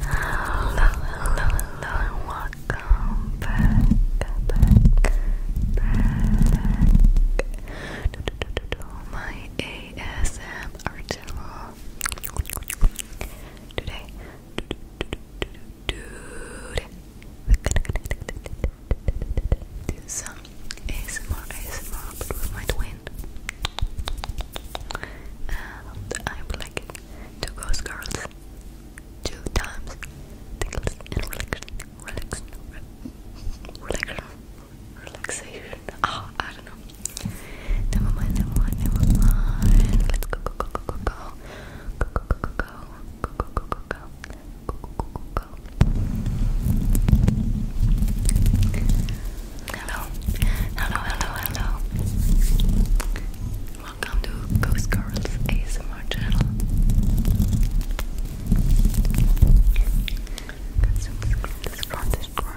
Hello, hello, hello, welcome back, back, back to my ASMR channel. Today, today, we're gonna do some ASMR, ASMR, but with my twin. Halloween. And I would like to ghost girls two times. Tickles and relax, relax, relax, relaxation. Oh, I don't know. Never mind, never mind, never mind. Let's go, go, go, go, go, go, go, go, go, go, go, go, go, go, go. Go, go, go, go, go. Hello, hello, hello, hello. Welcome to Ghost Girls ASMR channel. Got some scratches from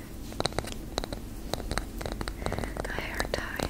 the hair tie.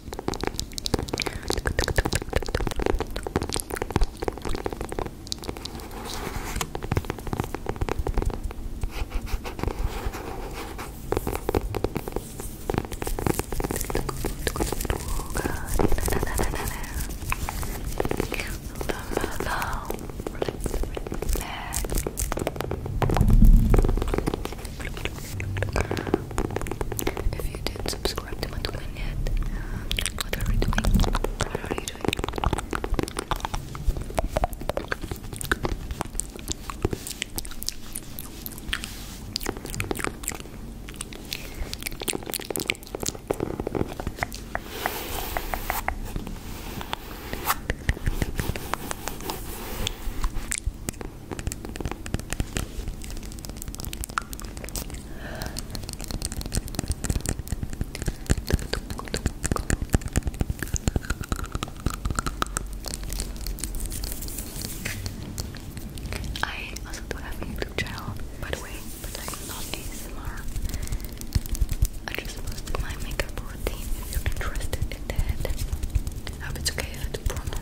If you did subscribe, subscribe to my domain yet. What are we doing? What are you doing? I also do a YouTube channel, by the way, but like not ASMR. I just posted my makeup routine if you're interested in that. hope it's okay to promo.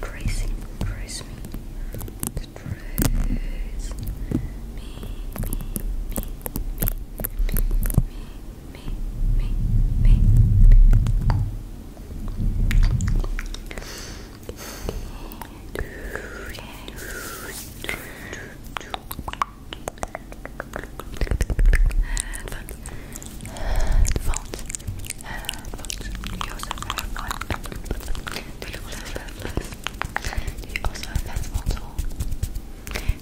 Crazy, crazy the dress. Me, me, me, me, me, me, me, me. Headphones. Headphones. Headphones. You also have one. Do you also have headphones on?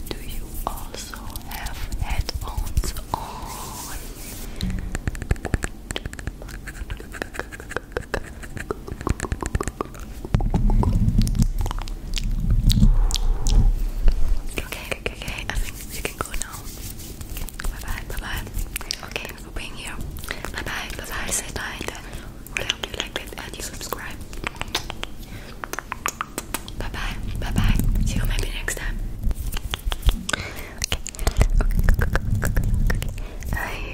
Do you also have headphones on? Okay, okay, okay. I think you can go now. Bye bye, bye bye. Okay, being here. Bye bye, bye bye, say bye, then really hope you it and you subscribe. Bye bye, bye bye. See you maybe next time. Okay, I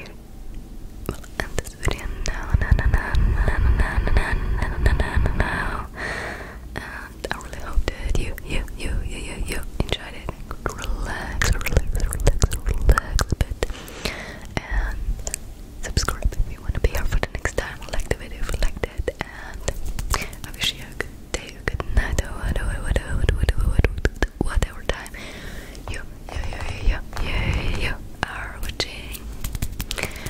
end this video now. No, no, no, no, no, no, no, no, And I really hope that you, you, you, you, you, you enjoyed it everything would relax, relax, relax, relax a bit. And subscribe if you want to be here for the next time. Like the video if you liked it. And I wish you a good day, a good night, or whatever, whatever, whatever, whatever time you, you, you, you, you, you are watching.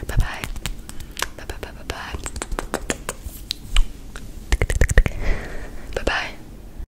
Bye bye. Bye bye bye bye bye. Bye bye.